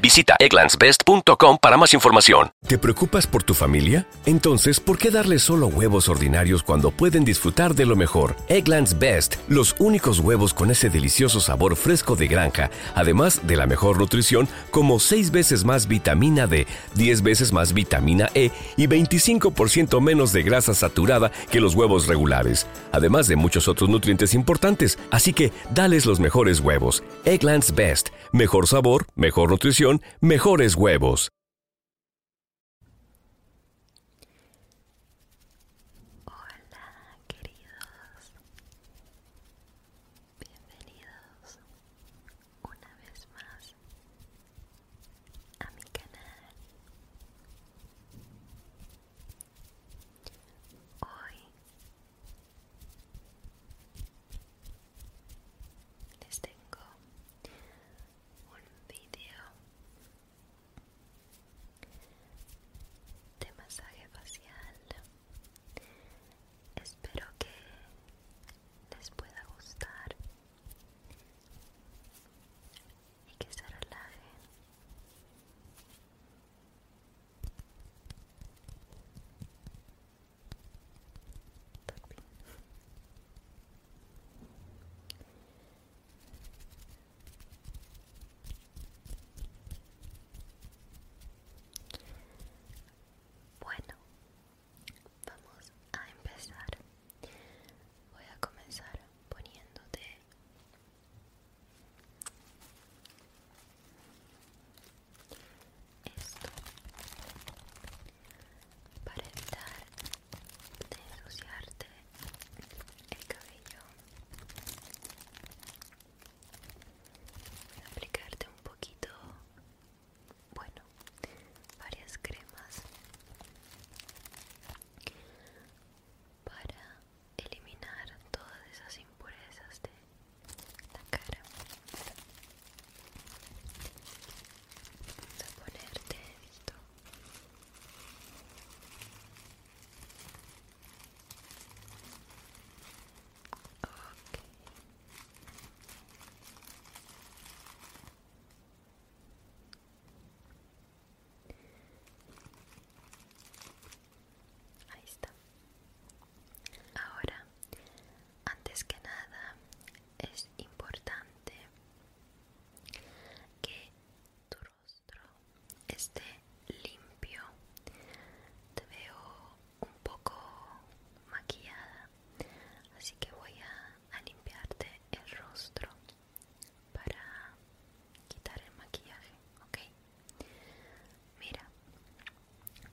Visita egglandsbest.com para más información. ¿Te preocupas por tu familia? Entonces, ¿por qué darles solo huevos ordinarios cuando pueden disfrutar de lo mejor? Egglands Best, los únicos huevos con ese delicioso sabor fresco de granja, además de la mejor nutrición como 6 veces más vitamina D, 10 veces más vitamina E y 25% menos de grasa saturada que los huevos regulares además de muchos otros nutrientes importantes. Así que dales los mejores huevos. Egglands Best. Mejor sabor, mejor nutrición, mejores huevos. una vez Hoy les tengo un video de masaje facial. Espero que les pueda gustar y que se relajen bueno, vamos a empezar. Voy a comenzar poniéndote esto para evitar de el cabello voy a aplicarte un poquito bueno varias cremas para eliminar todas esas impurezas de la cara vamos a ponerte esto ok Ahí está. Ahora, antes que nada, es importante que tu rostro esté limpio. Te veo un poco maquillada, así que voy a, a limpiarte el rostro para quitar el maquillaje, ¿ok? Mira,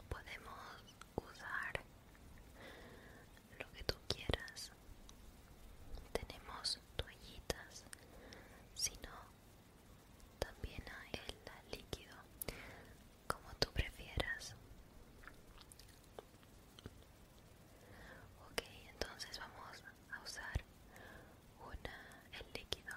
podemos usar lo que tú quieras. Tenemos toallitas, si no, también hay el líquido, como tú prefieras. Ok, entonces vamos a usar una, el líquido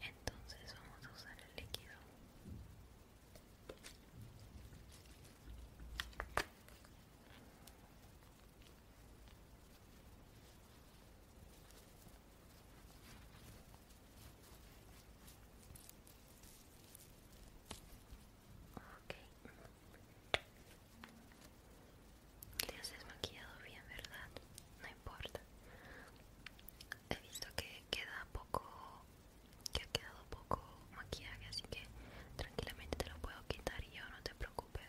entonces vamos a usar el líquido Ok. Te has desmaquillado bien, ¿verdad? No importa. He visto que queda poco que ha quedado poco maquillaje así que tranquilamente te lo puedo quitar y yo no te preocupes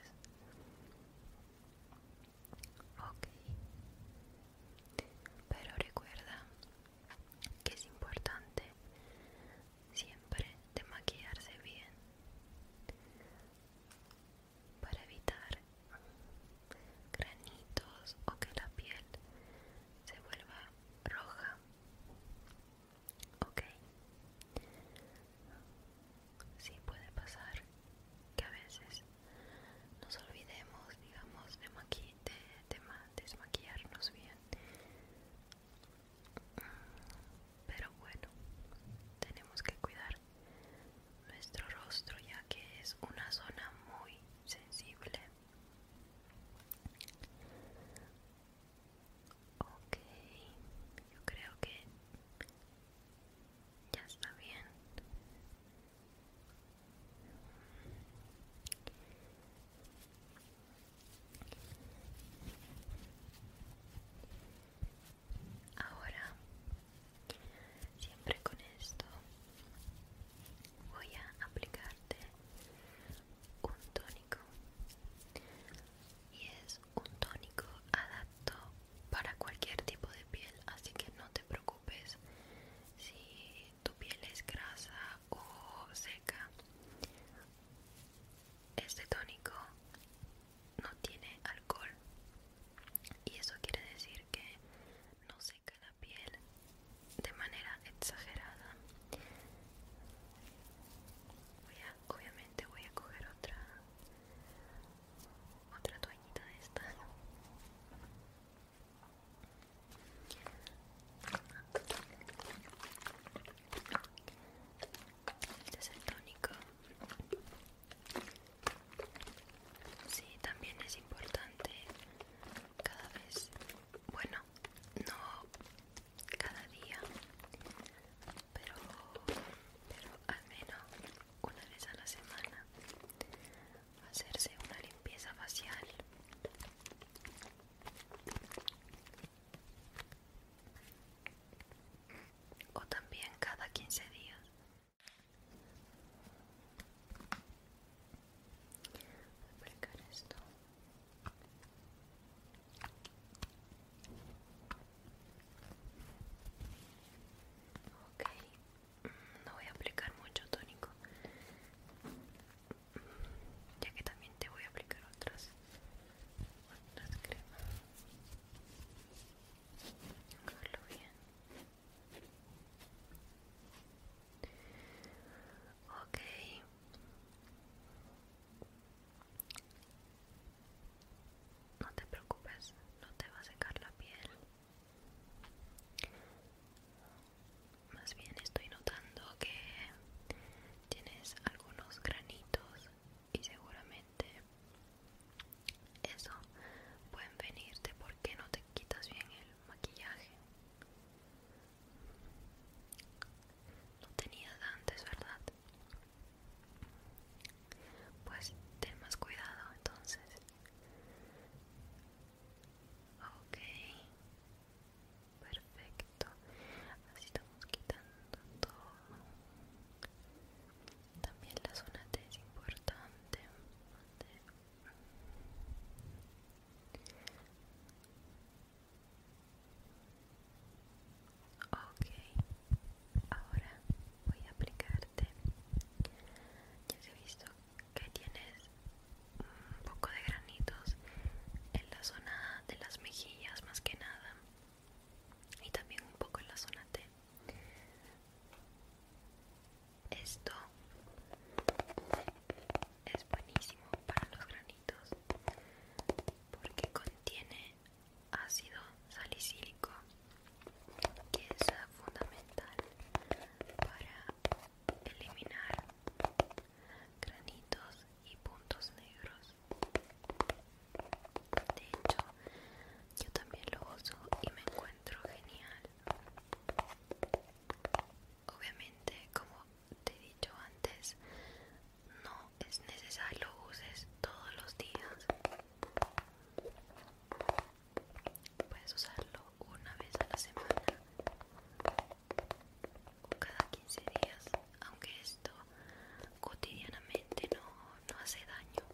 ok pero recuerda que es importante siempre de maquillarse bien para evitar granitos o que la piel se vuelva roja Ok. Sí puede pasar que a veces nos olvidemos, digamos, de, maqui desmaquillarnos bien. Pero bueno, tenemos que cuidar nuestro rostro ya que es una zona muy sensible Ok, yo creo que ya está bien. Ahora, siempre con esto, voy a aplicarte un tono y es un tónico adapto para cualquier tipo de piel así que no te preocupes si tu piel es grasa o seca este tónico no tiene alcohol y eso quiere decir que no seca la piel de manera exagerada obviamente voy a coger otra otra toallita de esta este es el tónico Sí, también es importante cada vez bueno, no cada día, pero, pero al menos una vez a la semana hacerse una limpieza facial. O también cada 15 días. esto. Ok, no voy a aplicar mucho tónico, ya que también te voy a aplicar otras, cremas. bien. Ok. No te preocupes, no te va a secar la piel. Más bien estoy notando que tienes algunos granitos y seguramente eso pueden venirte porque no te quitas bien el maquillaje. No tenías antes, ¿verdad? Pues ten más cuidado entonces. Ok. Perfecto. Así estamos quitando todo. También la zona T es importante. Ok, ahora voy a aplicarte. Ya se ha visto que tienes un poco de granitos en la zona de las mejillas más que nada y también un poco en la zona T. Esto es buenísimo para los granitos porque contiene ácido salicílico que es fundamental para eliminar granitos y puntos negros de hecho yo también lo uso y me encuentro genial obviamente como te he dicho antes, no es necesario uses todos los días. Puedes usarlo una vez a la semana o cada 15 días, aunque esto cotidianamente no hace daño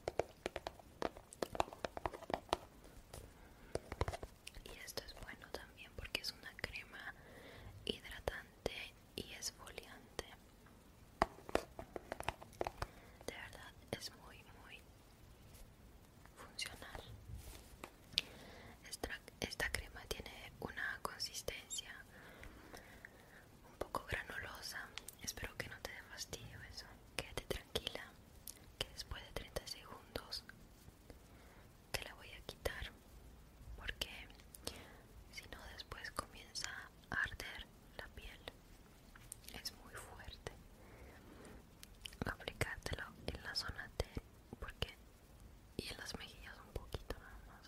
y esto es bueno también porque es una crema hidratante y esfoliante de verdad es muy muy funcional esta, crema tiene una consistencia un poco granulosa espero que no te dé fastidio eso quédate tranquila que después de 30 segundos te la voy a quitar porque si no después comienza a arder la piel es muy fuerte aplicártelo en la zona T porque y en las mejillas un poquito nada más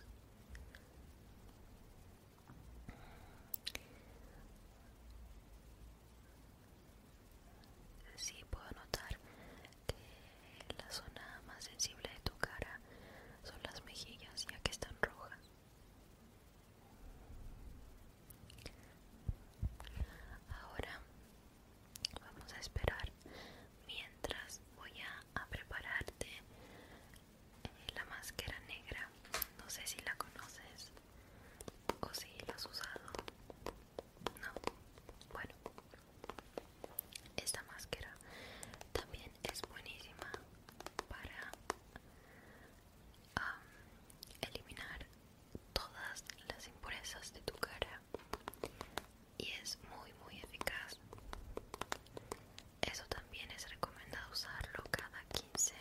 Sí, puedo notar la zona más sensible de tu cara son las mejillas ya que están rojas. Ahora vamos a esperar mientras voy a, a prepararte eh, la máscara negra. No sé si la conoces o si la has usado. No. Bueno, esta máscara también es buenísima para eliminar todas las impurezas de tu cara y es muy muy eficaz. Eso también es recomendado usarlo cada 15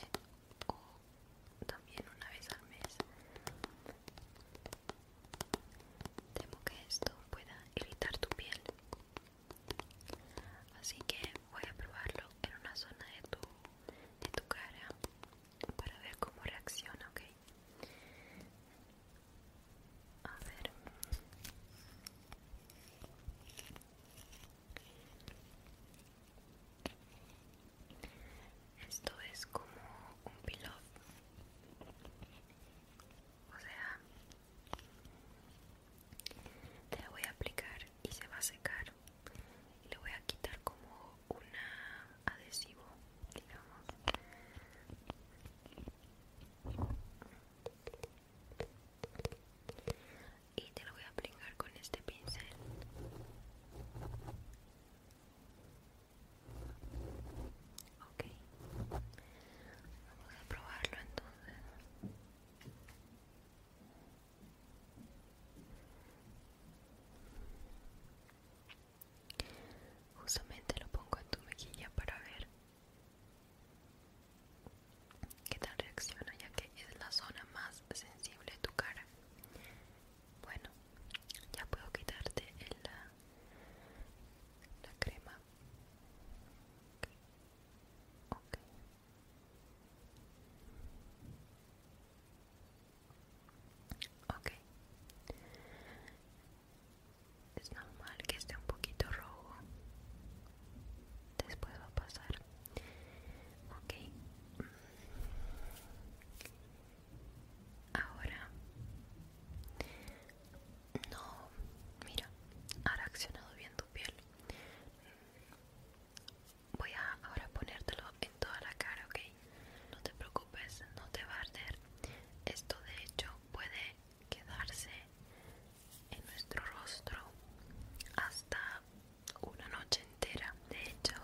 o también una vez al mes. Temo que esto pueda irritar tu piel. Así que voy a probarlo en una zona de tu, cara para ver cómo reacciona, ¿ok? A ver. Esto es como un pilón o sea, te lo voy a aplicar y se va a secar. Y le voy a quitar como un adhesivo, digamos. Y te lo voy a aplicar con este pincel. Ok, vamos a probarlo entonces. Justamente lo pongo en tu mejilla para ver qué tal reacciona, ya que es la zona más sensible de tu cara. Bueno, ya puedo quitarte el, la crema okay. Okay. es normal que esté un poquito rojo, después va a pasar. Ok, Ahora no, mira, ha reaccionado bien tu piel. Voy a ahora ponértelo en toda la cara, ¿ok? No te preocupes, no te va a arder. Esto de hecho puede quedarse en nuestro rostro hasta una noche entera. De hecho,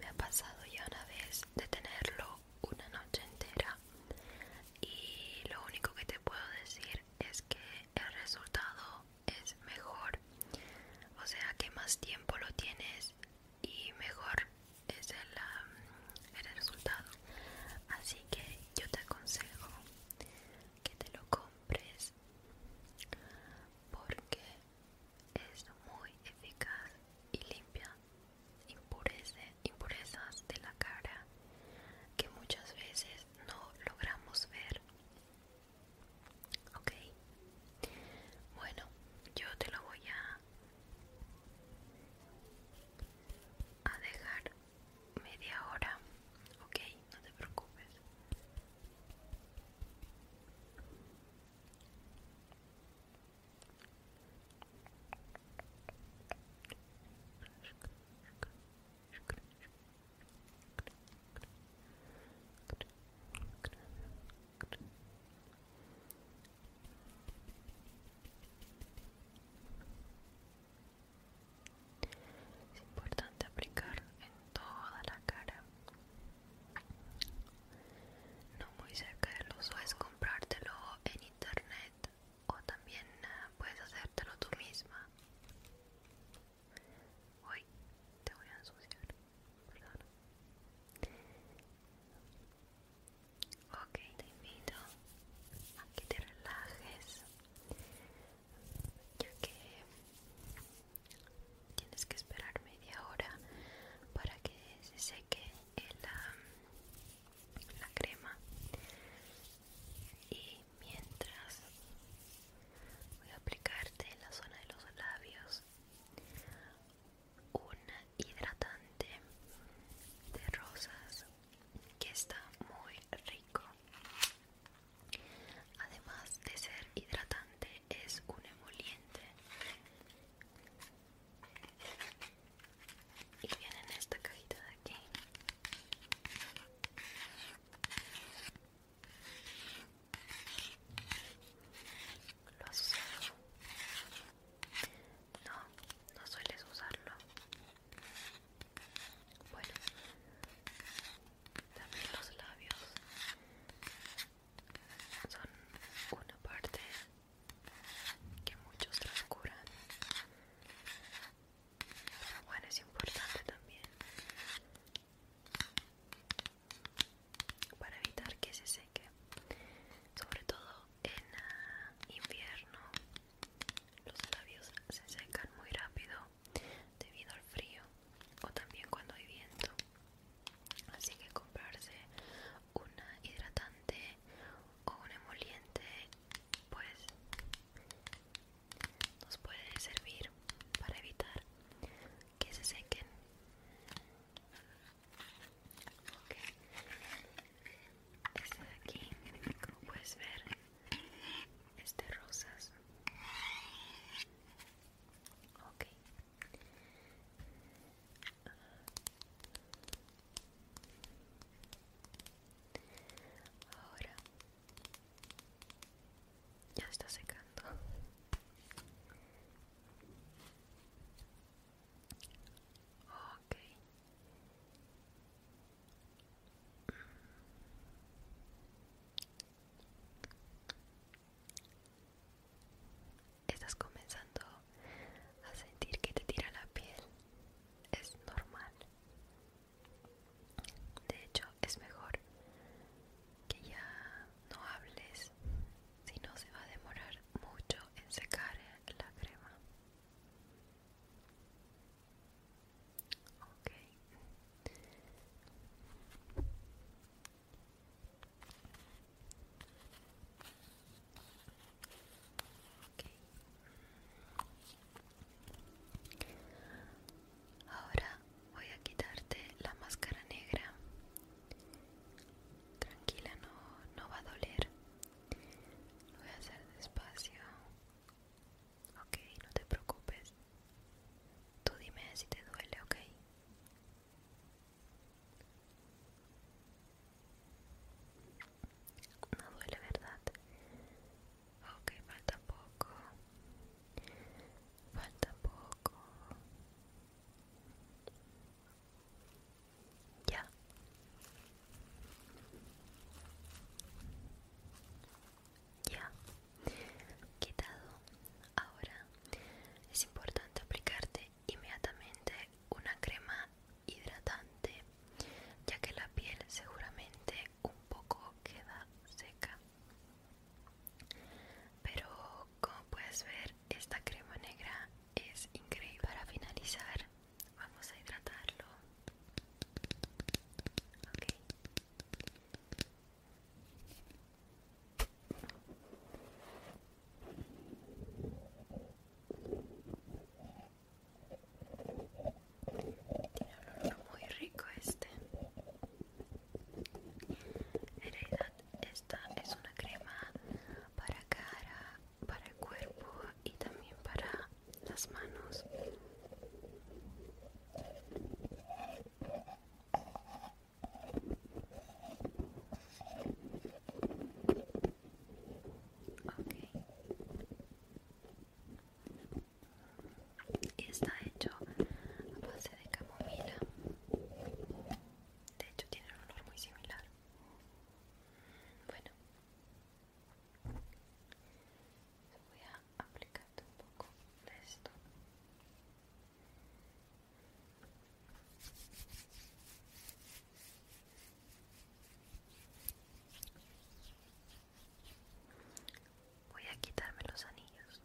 me ha pasado ya una vez de tenerlo una noche entera y lo único que te puedo decir es que el resultado es mejor o sea que más tiempo lo tienes y mejor es el, um, resultado así que yo te aconsejo que te lo compres porque es muy eficaz y limpia impurezas de la cara que muchas veces no logramos ver. Ok, bueno, yo te lo voy a, a dejar media hora. Ok, no te preocupes. Es importante aplicar en toda la cara. No muy cerca de los ojos, comprártelo en internet o también eh, puedes hacértelo tú misma. uy te voy a ensuciar, perdón. Ok, te invito a que te relajes, ya que tienes que esperar media hora para que se seque el, la crema y mientras voy a aplicarte en la zona de los labios un hidratante de rosas que está muy rico además de ser hidratante es un emoliente y viene esta cajita de aquí lo has usado no no sueles usarlo bueno también los labios son una parte que muchos transcurran bueno es importante también para evitar que se seque sobre todo en ah, invierno los labios se secan muy rápido debido al frío o también cuando hay viento así que comprarse una hidratante o un emoliente pues nos puede servir para evitar que se sequen Ok. este de aquí como puedes ver este rosas ok Ahora ya está secando. Okay estás comenzando a sentir que te tira la piel, es normal. De hecho, es mejor que ya no hables, si no se va a demorar mucho en secar la crema. Ok. Ahora voy a quitarte la máscara negra. Tranquila, no, no va a doler. Lo voy a hacer despacio. Ok, no te preocupes. Tú dime si te duele, ok. No duele, ¿verdad? Ok, falta poco. Falta poco. Ya. Ya. Quitado. Ahora es importante aplicarte inmediatamente una crema hidratante ya que la piel seguramente un poco queda seca pero como puedes ver esta crema negra es increíble para finalizar vamos a hidratarlo tiene Un olor muy rico este. En realidad esta es una crema para cara, para el cuerpo y también para las manos. Está hecho a base de camomila. De hecho, tiene un olor muy similar. Bueno, voy a aplicar un poco de esto. Voy a quitarme los anillos.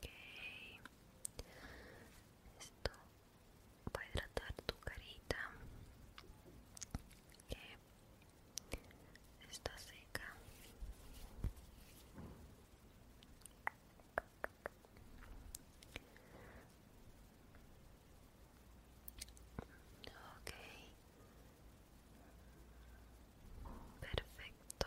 Okay, Esto va a hidratar tu carita. Que está seca. Ok. Perfecto.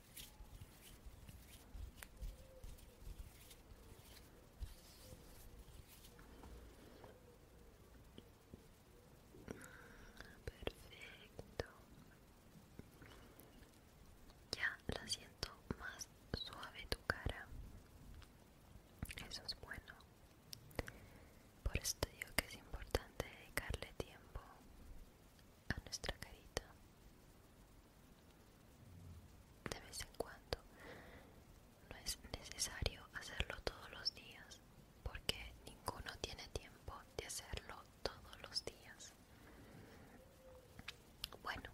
Perfecto. Ya la siento más suave tu cara. Eso es bueno. Por esto digo que es importante dedicarle tiempo a nuestra carita. De vez en cuando no es necesario hacerlo todos los días porque ninguno tiene tiempo de hacerlo todos los días. Bueno,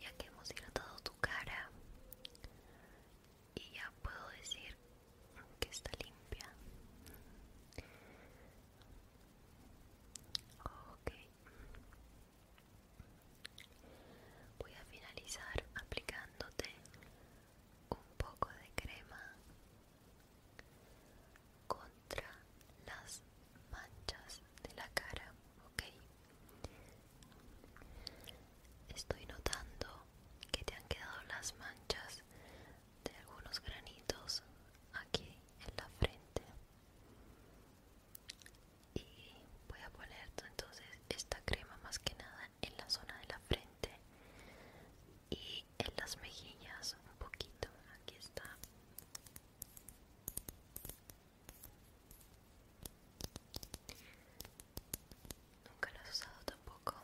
ya que hemos hidratado tu cara y ya puedo decir que está limpia Ok. Voy a finalizar aplicándote un poco de crema contra las manchas de la cara, ok. Estoy notando que te han quedado las manchas de algunos granitos aquí en la frente y voy a poner entonces esta crema más que nada en la zona de la frente y en las mejillas un poquito aquí está nunca lo he usado tampoco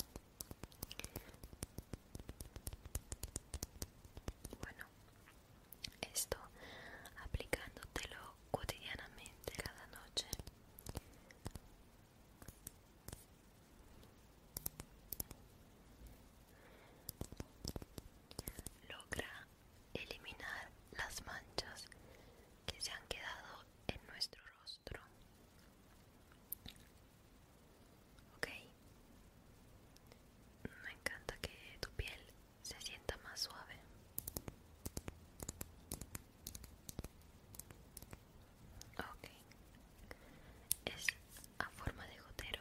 bueno, esto aplicándotelo cotidianamente cada noche logra eliminar las manchas que se han quedado en nuestro rostro Ok. Me encanta que tu piel se sienta más suave. Ok. Es a forma de gotero.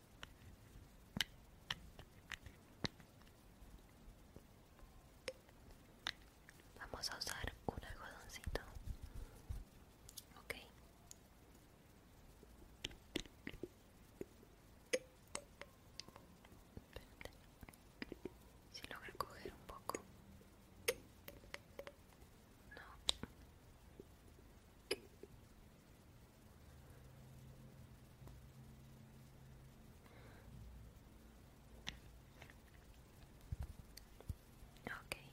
Vamos a usar un algodoncito, ok. Si logra coger un poco, no. Okay.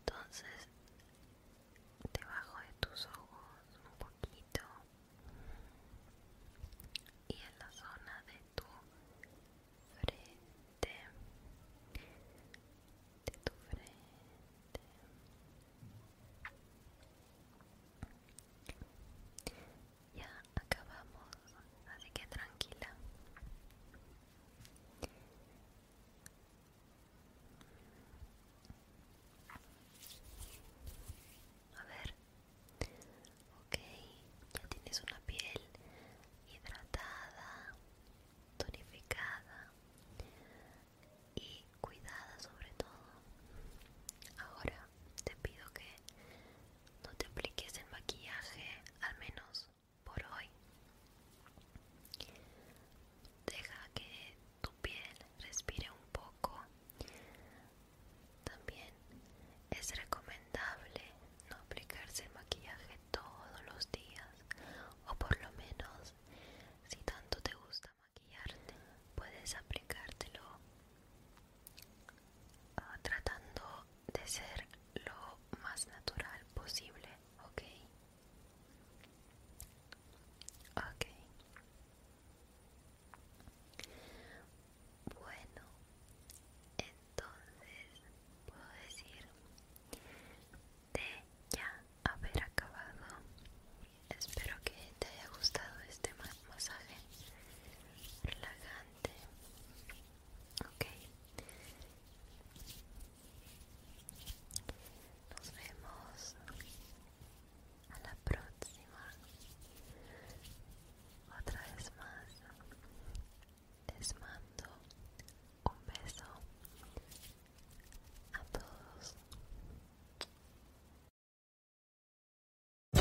Entonces, debajo de tus ojos un poquito y en la zona de tu frente de tu frente ya acabamos así que tranquila a ver ok ya tienes una piel hidratada tonificada y cuidada sobre todo ahora te pido que no te apliques el maquillaje al menos por hoy deja que tu piel respire un poco también es recomendable no aplicarse el maquillaje todos los días o por lo menos si tanto te gusta maquillarte puedes aplicártelo ah, tratando de ser lo más natural posible, ¿ok? ok bueno, entonces puedo decir de ya haber acabado. Espero que te haya gustado este masaje relajante. Ok. Nos vemos a la próxima.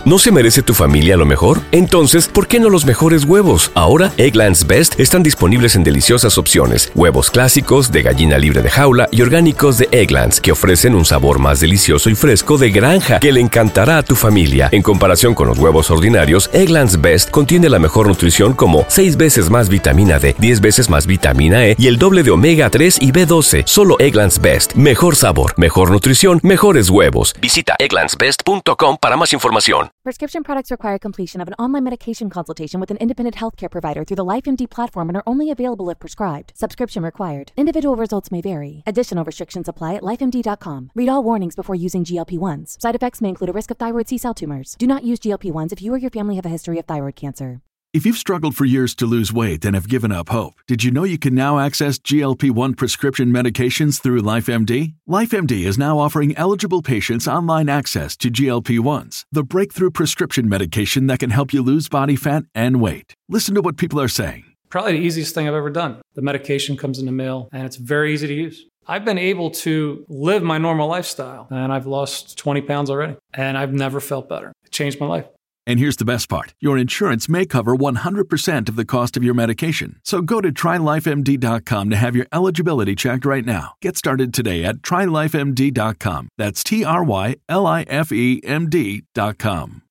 ¿No se merece tu familia lo mejor? Entonces, ¿por qué no los mejores huevos? Ahora, Egglands Best están disponibles en deliciosas opciones. Huevos clásicos, de gallina libre de jaula y orgánicos de Egglands, que ofrecen un sabor más delicioso y fresco de granja que le encantará a tu familia. En comparación con los huevos ordinarios, Egglands Best contiene la mejor nutrición como 6 veces más vitamina D, 10 veces más vitamina E y el doble de omega 3 y B12. Solo Egglands Best. Mejor sabor, mejor nutrición, mejores huevos. Visita egglandsbest.com para más información. Prescription products require completion of an online medication consultation with an independent healthcare provider through the LifeMD platform and are only available if prescribed. Subscription required. Individual results may vary. Additional restrictions apply at lifemd.com. Read all warnings before using GLP 1s. Side effects may include a risk of thyroid C cell tumors. Do not use GLP 1s if you or your family have a history of thyroid cancer. If you've struggled for years to lose weight and have given up hope, did you know you can now access GLP 1 prescription medications through LifeMD? LifeMD is now offering eligible patients online access to GLP 1s, the breakthrough prescription medication that can help you lose body fat and weight. Listen to what people are saying. Probably the easiest thing I've ever done. The medication comes in the mail and it's very easy to use. I've been able to live my normal lifestyle and I've lost 20 pounds already and I've never felt better. It changed my life. And here's the best part your insurance may cover 100% of the cost of your medication. So go to trylifemd.com to have your eligibility checked right now. Get started today at trylifemd.com. That's T R Y L I F E M D.com.